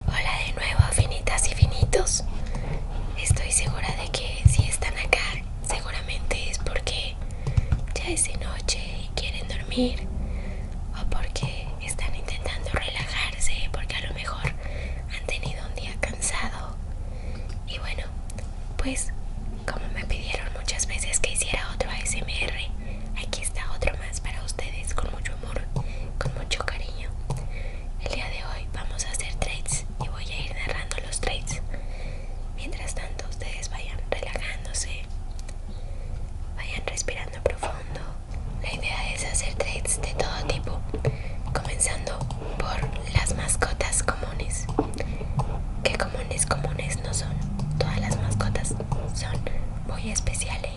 Hola de nuevo, finitas y finitos. Estoy segura de que si están acá, seguramente es porque ya es de noche y quieren dormir o porque están intentando relajarse, porque a lo mejor han tenido un día cansado. Y bueno, pues como me pidieron muchas veces que hiciera otro ASMR, aquí está otro más para ustedes con mucho con mucho cariño. El día de hoy vamos a hacer trades y voy a ir narrando los trades. Mientras tanto ustedes vayan relajándose, vayan respirando profundo. La idea es hacer trades de todo tipo, comenzando por las mascotas comunes. Que comunes comunes no son. Todas las mascotas son muy especiales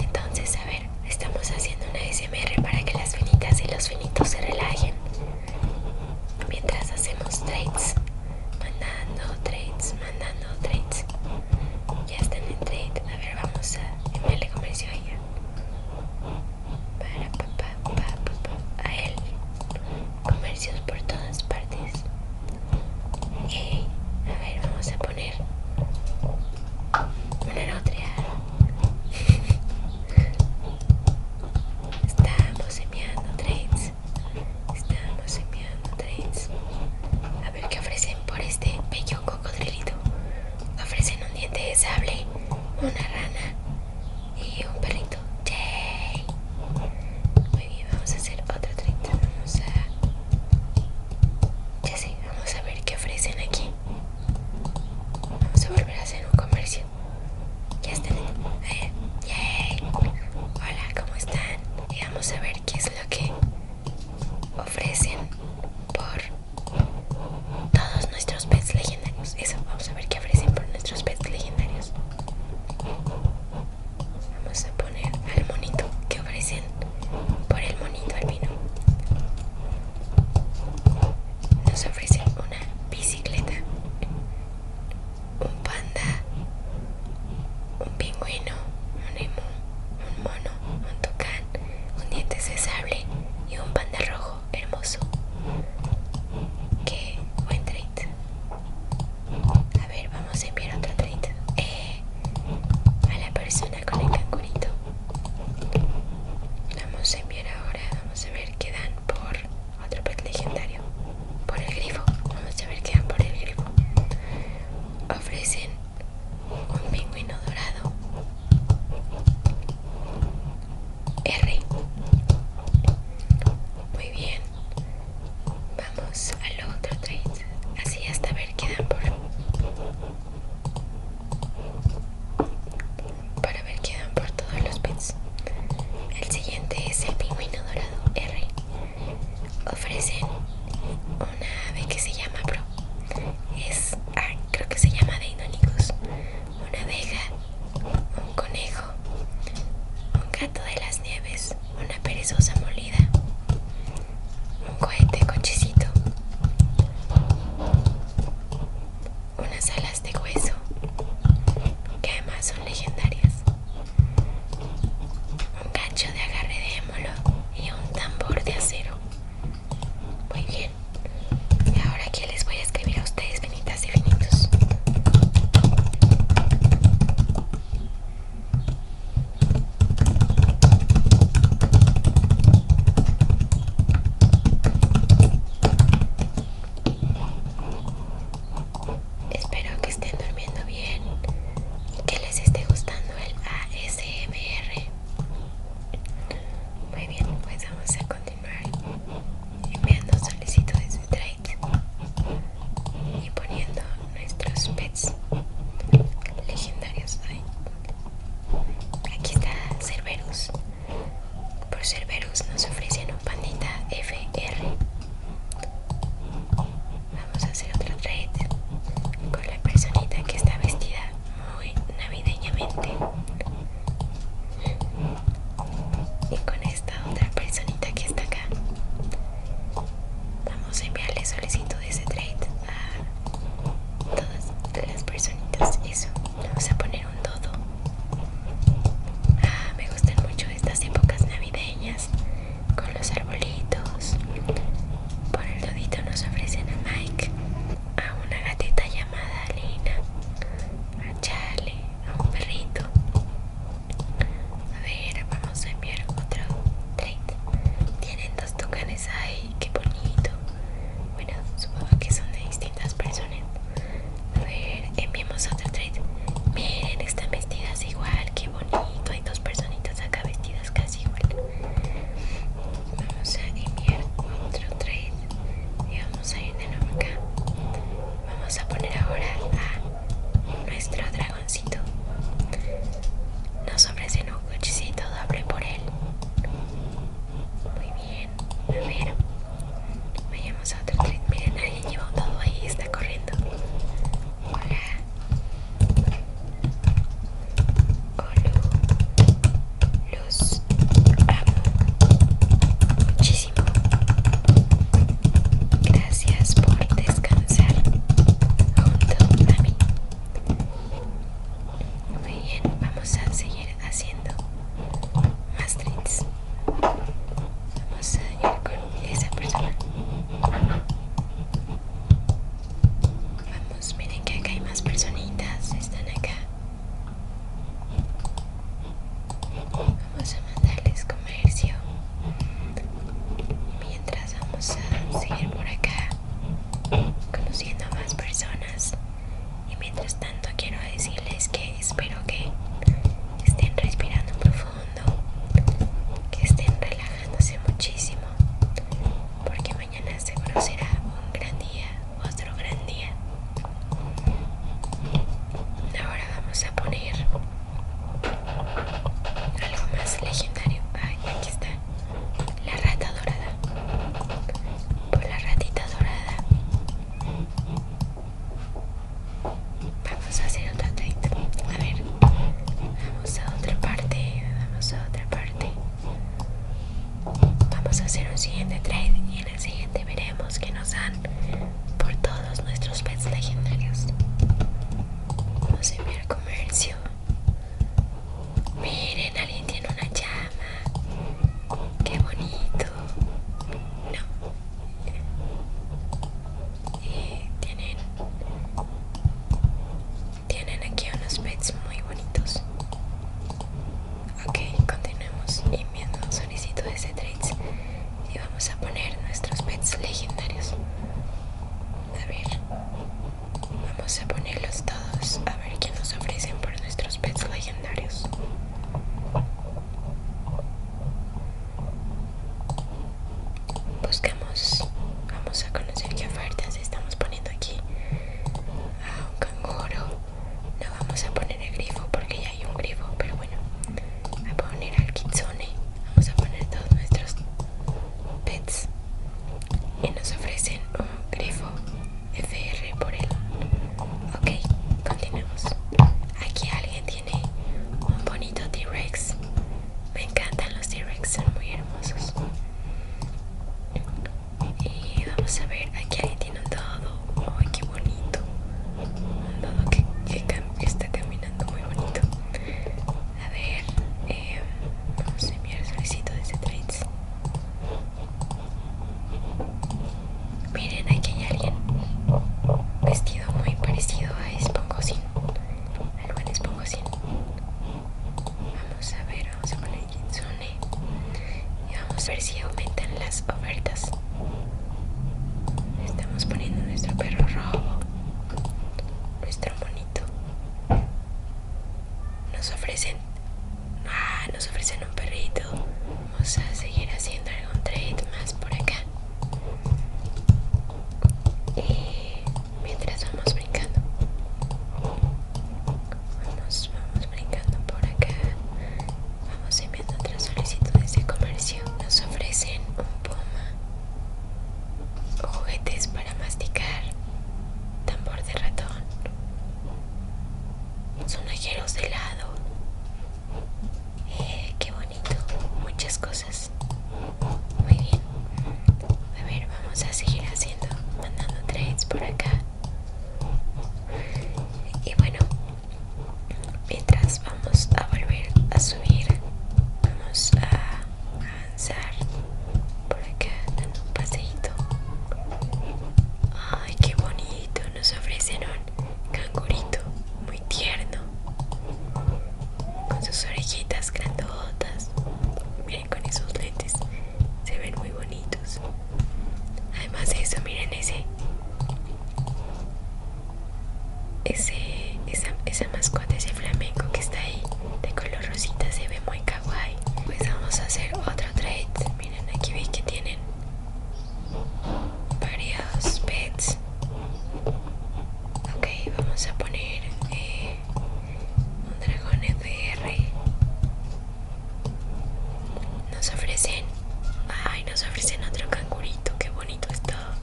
entonces, a ver, estamos haciendo una SMR para que las finitas y los finitos se relajen. Mientras hacemos trades, mandando trades, mandando trades. Ya están en trade. A ver, vamos a enviarle comercio a ella. Para papá, papá, papá, a él. Comercios por todas partes. A ver, vamos a poner una Estamos enviando trades. Estamos enviando trades. A ver qué ofrecen por este bello cocodrilito. Ofrecen un diente de sable, una rana y un perrito. ¡Yay! Muy bien, vamos a hacer otro trade. Vamos a. Ya sé, vamos a ver qué ofrecen aquí. Vamos a volver a hacer un comercio. Ya están. Eh, Hola, ¿cómo están? Y vamos a ver qué es lo que ofrecen por todos nuestros pets legendarios. Eso, vamos a ver qué ofrecen por nuestros pets legendarios. Vamos a poner al monito que ofrecen por el monito albino. Nos ofrecen una bicicleta, un panda, un pingüino, un emo, un mono, un tocán un diente de y un panda rojo hermoso. Que buen treat. A ver, vamos a enviar otro treat eh, a la persona con el Vamos a enviar ahora, vamos a ver qué dan por otro pet legendario. Por el grifo, vamos a ver qué dan por el grifo. Ofrecen un pingüino dorado. R. Muy bien. Vamos al otro trade. Así hasta ver qué dan por para ver qué dan por todos los pins El siguiente es el pingüino dorado R. Ofrecen una ave que se llama Pro. Es, ah, creo que se llama Deinonychus. Una abeja, un conejo, un gato de las nieves, una perezosa molida, un cohete cochecito, unas alas de hueso que además son legendarias, un gancho de agarre de émolo y un tambor de acero. Muy bien, y ahora aquí les voy a escribir a ustedes venitas y finitos. Espero que estén durmiendo bien y que les esté gustando el ASMR. Muy bien, pues vamos a continuar enviando solicitudes de trade y poniendo nuestros pets legendarios Aquí está Cerberus. Por Cerberus nos ofrecen un pandita FR. Vamos a hacer otro trade con la personita que está vestida muy navideñamente. Y con esta otra personita que está acá. Vamos a enviarle solicitud de ese trade a todas las personitas eso vamos a poner un todo ah, me gustan mucho estas épocas navideñas con los arbolitos por el todito nos ofrecen a Mike a una gatita llamada Lina a Charlie a un perrito a ver vamos a enviar otro tienen dos tucanes ahí qué bonito bueno supongo que son de distintas personas a ver enviamos otro trade miren están vestidas igual qué bonito hay dos personitas acá vestidas casi igual vamos a enviar otro trade y vamos a ir de nuevo acá vamos a poner ahora a nuestro dragoncito No nos ese no Muchísimo doble por él. Muy bien. A ver. Vayamos a otro tren. Miren, alguien llevó todo ahí está corriendo. Hola. Luz. Amo. Muchísimo. Gracias por descansar junto a mí. Muy bien, vamos a seguir haciendo más trits. Vamos a ir con esa persona. Vamos, miren que acá hay más personitas, están acá. Vamos a mandarles comercio. Mientras vamos a seguir por acá conociendo a más personas y mientras tanto quiero decirles que espero que estén respirando profundo que estén relajándose muchísimo porque mañana seguro será un gran día otro gran día ahora vamos a poner algo más legendario aquí está la rata dorada por la ratita dorada vamos a hacer otro trade a ver vamos a otra parte vamos a otra parte vamos a hacer un siguiente trade y en el siguiente veremos que nos dan por todos nuestros pets legendarios vamos a enviar comercio Miren, alguien tiene una llama. Qué bonito. No. Y tienen. Tienen aquí unos pets muy bonitos. Ok, continuemos enviando solicito de C3. Y vamos a poner nuestros pets legendarios. A ver. Vamos a ponerlos todos a ver qué nos ofrecen por nuestros pets legendarios. Buscamos, vamos a conocer qué ofertas estamos poniendo aquí. A ah, un canguro. No vamos a poner el grifo porque ya hay un grifo, pero bueno. A poner al kitsune. Vamos a poner todos nuestros pets. Y nos ofrecen grifo FR por él. Ok, continuemos. Aquí alguien tiene un bonito T-Rex. Me encantan los T-Rex, son muy hermosos. Y vamos a ver, aquí alguien tiene un dodo. qué bonito! Un dodo que, que está caminando muy bonito. A ver, eh, vamos a enviar el solicito de este trades. Miren, aquí hay alguien vestido muy parecido a Espongosin. algo buen Spongosin Vamos a ver, vamos a poner Kitsune. Y vamos a ver si aumentan las ofertas. Estamos poniendo nuestro perro rojo. Nuestro bonito nos ofrecen, ah, nos ofrecen un perrito. Vamos a seguir haciendo algún trade más por acá. Y mientras vamos brincando, vamos, vamos brincando por acá. Vamos enviando otras solicitudes de comercio. Nos ofrecen un puma juguetes para masticar, tambor de ratón, sonajeros de helado. Eh, qué bonito, muchas cosas. Muy bien. A ver, vamos a seguir haciendo, mandando trades por acá. Y bueno, mientras vamos a volver a subir, vamos a por acá dando un paseito ay qué bonito nos ofrecen un cangurito muy tierno con sus orejitas grandotas miren con esos lentes se ven muy bonitos además de eso miren ese ese esa, esa mascota ese flamenco que está ahí de color rosita se ve muy guay, pues vamos a hacer otro trade miren aquí veis que tienen varios pets ok vamos a poner eh, un dragón FR nos ofrecen ay nos ofrecen otro cangurito que bonito está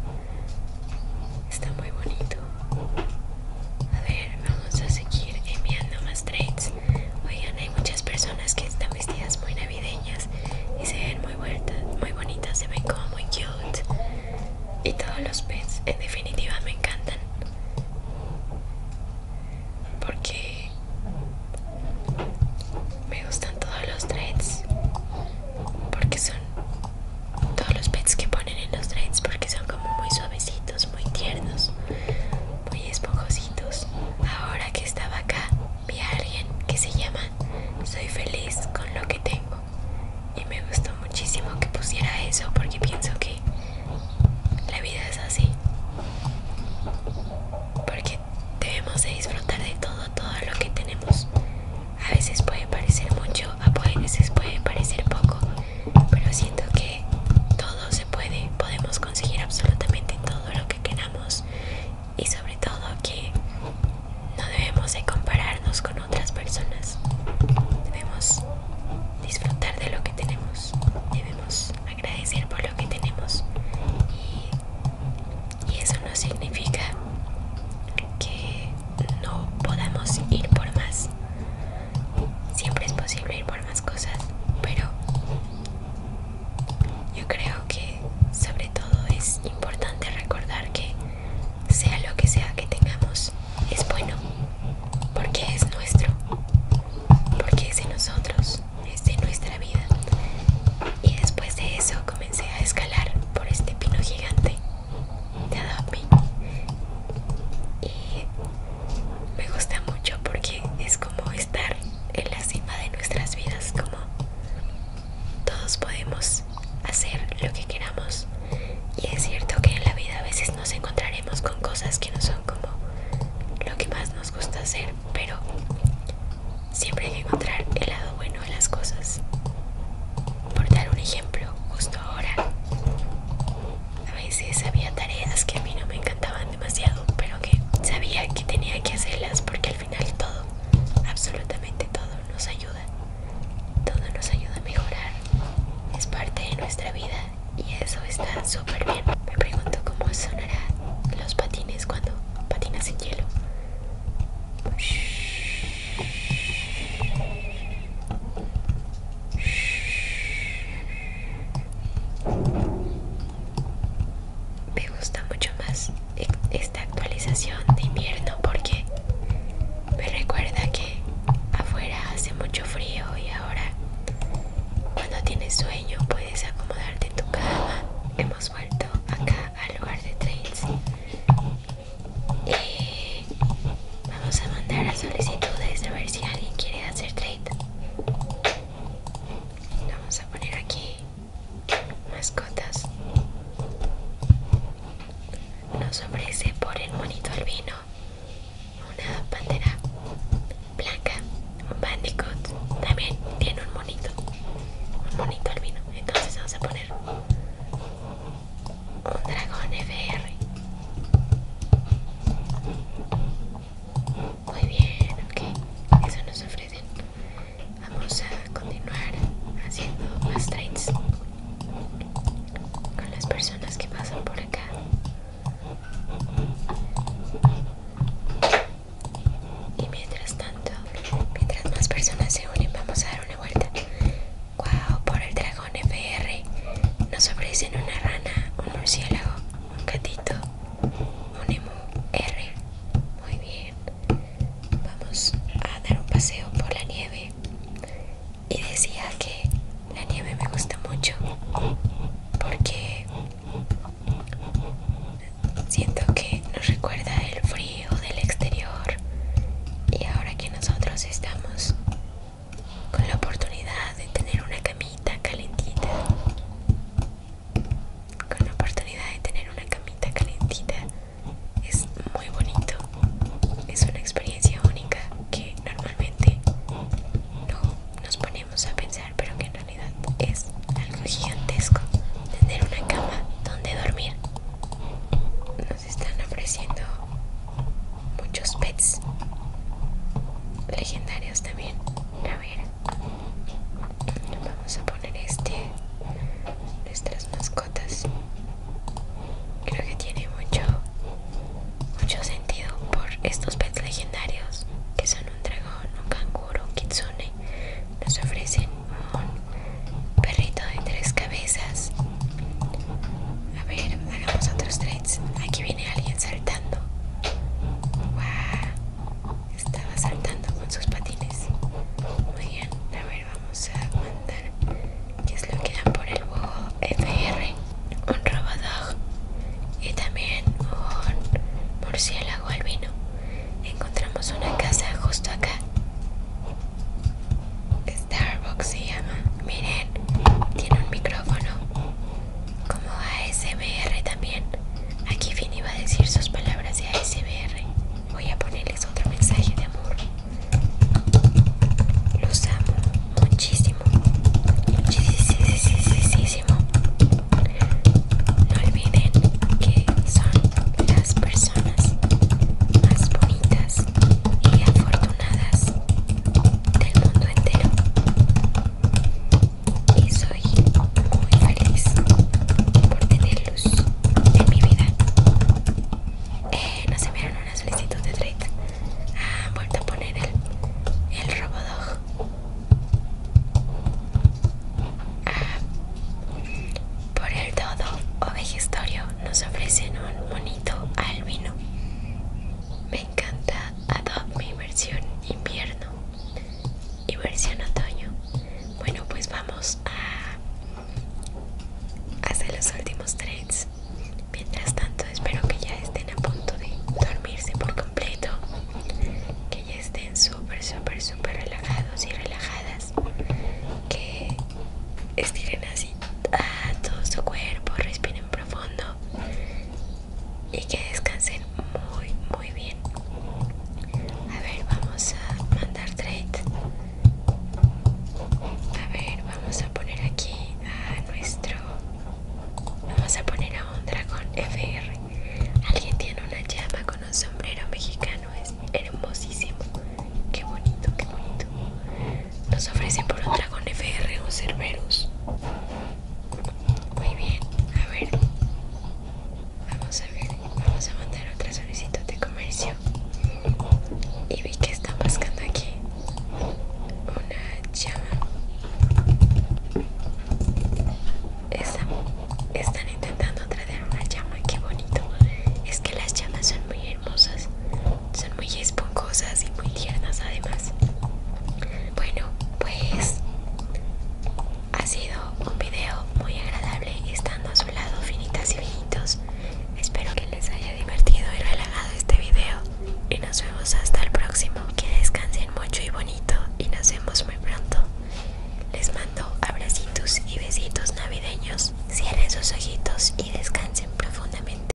está muy bonito a ver, vamos a seguir enviando más trades. Oigan, hay muchas personas que están vestidas muy navideñas y se ven muy, vueltas, muy bonitas, se ven como muy cute. Y todos los pets, en definitiva, me encantan. Porque me gustan todos los trades. Porque son todos los pets que ponen en los dreads porque son como muy suavecitos, muy tiernos, muy esponjositos. Ahora que estaba acá, vi a alguien que se llama Soy feliz con lo que tengo. Y me gustó muchísimo que pusiera eso porque pienso que la vida es así. Porque debemos de disfrutar de todo, todo lo que tenemos. A veces puede parecer mucho, a veces puede parecer poco, pero siento que todo se puede, podemos conseguir absolutamente todo lo que queramos y sobre todo que no debemos de compararnos con otras personas, debemos disfrutar de lo que tenemos, debemos agradecer por lo que tenemos y, y eso no significa que no podamos ir por más Siempre es posible ir por más cosas, pero yo creo que sobre todo es importante recordar que sea lo que sea que tengamos, es bueno, porque es nuestro, porque es de nosotros, es de nuestra vida. Y después de eso comencé a escalar por este pino gigante de Adobe me gusta mucho porque es como estar en la cima de nuestras vidas, como todos podemos hacer lo que queramos. Y es cierto que en la vida a veces nos encontraremos con cosas que no son como lo que más nos gusta hacer, pero siempre hay que encontrar el lado bueno de las cosas. Por dar un ejemplo, justo ahora a veces había tareas que a mí no me encantaban demasiado, pero que sabía que tenía que hacerlas porque al final todo, absolutamente todo nos ayuda. Todo nos ayuda a mejorar. Es parte de nuestra vida y eso está súper bien. Me pregunto cómo sonará los patines cuando patinas en hielo. Me gusta mucho más e-, esta actualización de invierno porque me recuerda que afuera hace mucho frío y ahora cuando tienes sueño puedes acomodarte en tu cama. Hemos vuelto acá al lugar de trails. Eh, Vamos a mandar a solicitudes a ver si alguien quiere hacer trade. Vamos a poner aquí mascotas. Nos ofrece por el monito albino una bandera blanca, un bandicoot. También tiene un monito, un monito albino. Entonces vamos a poner Dragón FR. Muy bien, ok. Eso nos ofrecen. Vamos a continuar haciendo más trades con las personas que pasan por acá. Y mientras tanto, mientras más personas se unen, vamos a dar una vuelta guau por el dragón FR nos ofrecen una rana, un murciélago, un gatito, un emu R. Muy bien. Vamos a dar un paseo por la nieve. Y decía que la nieve me gusta mucho porque siento que nos recuerda el frío del exterior y ahora que nosotros estamos con la oportunidad de tener una camita calentita con la oportunidad de tener una camita calentita es muy bonito es una experiencia única que normalmente no nos ponemos a pensar pero que en realidad es algo gigantesco tener una cama donde dormir nos están ofreciendo muchos pets legendarios también. A ver, vamos a poner este, nuestras mascotas. Creo que tiene mucho, mucho sentido por estos pets legendarios que son un dragón, un canguro, un kitsune. Nos ofrecen un perrito de tres cabezas a ver, hagamos otros trades. Aquí viene alguien saltando. Wow. Estaba saltando con sus patines. Muy bien. A ver, vamos a mandar. ¿Qué es lo que dan por el bojo FR? Un robodog. Y también un murciélago albino. Encontramos una casa justo acá. Starbucks se llama. Miren, tiene un micrófono. Como ASMR también. Aquí fin iba a decir sus palabras de ASMR. Voy a ponerles otro mensaje de amor. Los amo muchísimo. Muchísimo. No olviden que son las personas más bonitas y afortunadas del mundo entero y soy muy feliz por tener luz en mi vida. Eh, no nos enviaron una solicitud de treta. Han vuelto a poner el, el Robodog. Ah, por el todo o vejestorio nos ofrecen un bonito albino me encanta Adopt mi versión invierno y versión otoño. Bueno, pues vamos a hacer los últimos trades. Mientras tanto, espero que ya estén a punto de dormirse por completo, que ya estén súper, súper, súper relajados y relajadas, que estiren así a todo su cuerpo, respiren profundo y que descansen muy muy bien a ver vamos a mandar trade a ver vamos a poner aquí a nuestro vamos a poner a un dragón fr alguien tiene una llama con un sombrero mexicano es hermosísimo qué bonito qué bonito nos ofrecen por un dragón FR o Cerberus. Muy bien, a ver. Vamos a ver, vamos a mandar otra solicitud de comercio. Y vi que están buscando aquí una llama. Están, están intentando traer una llama, qué bonito. Es que las llamas son muy hermosas son muy esponjosas y muy tiernas además bueno pues ha sido un video muy agradable estando a su lado finitas y finitos espero que les haya divertido y relajado este video y nos vemos hasta el próximo que descansen mucho y bonito y nos vemos muy pronto les mando abracitos y besitos navideños cierren sus ojitos y descansen profundamente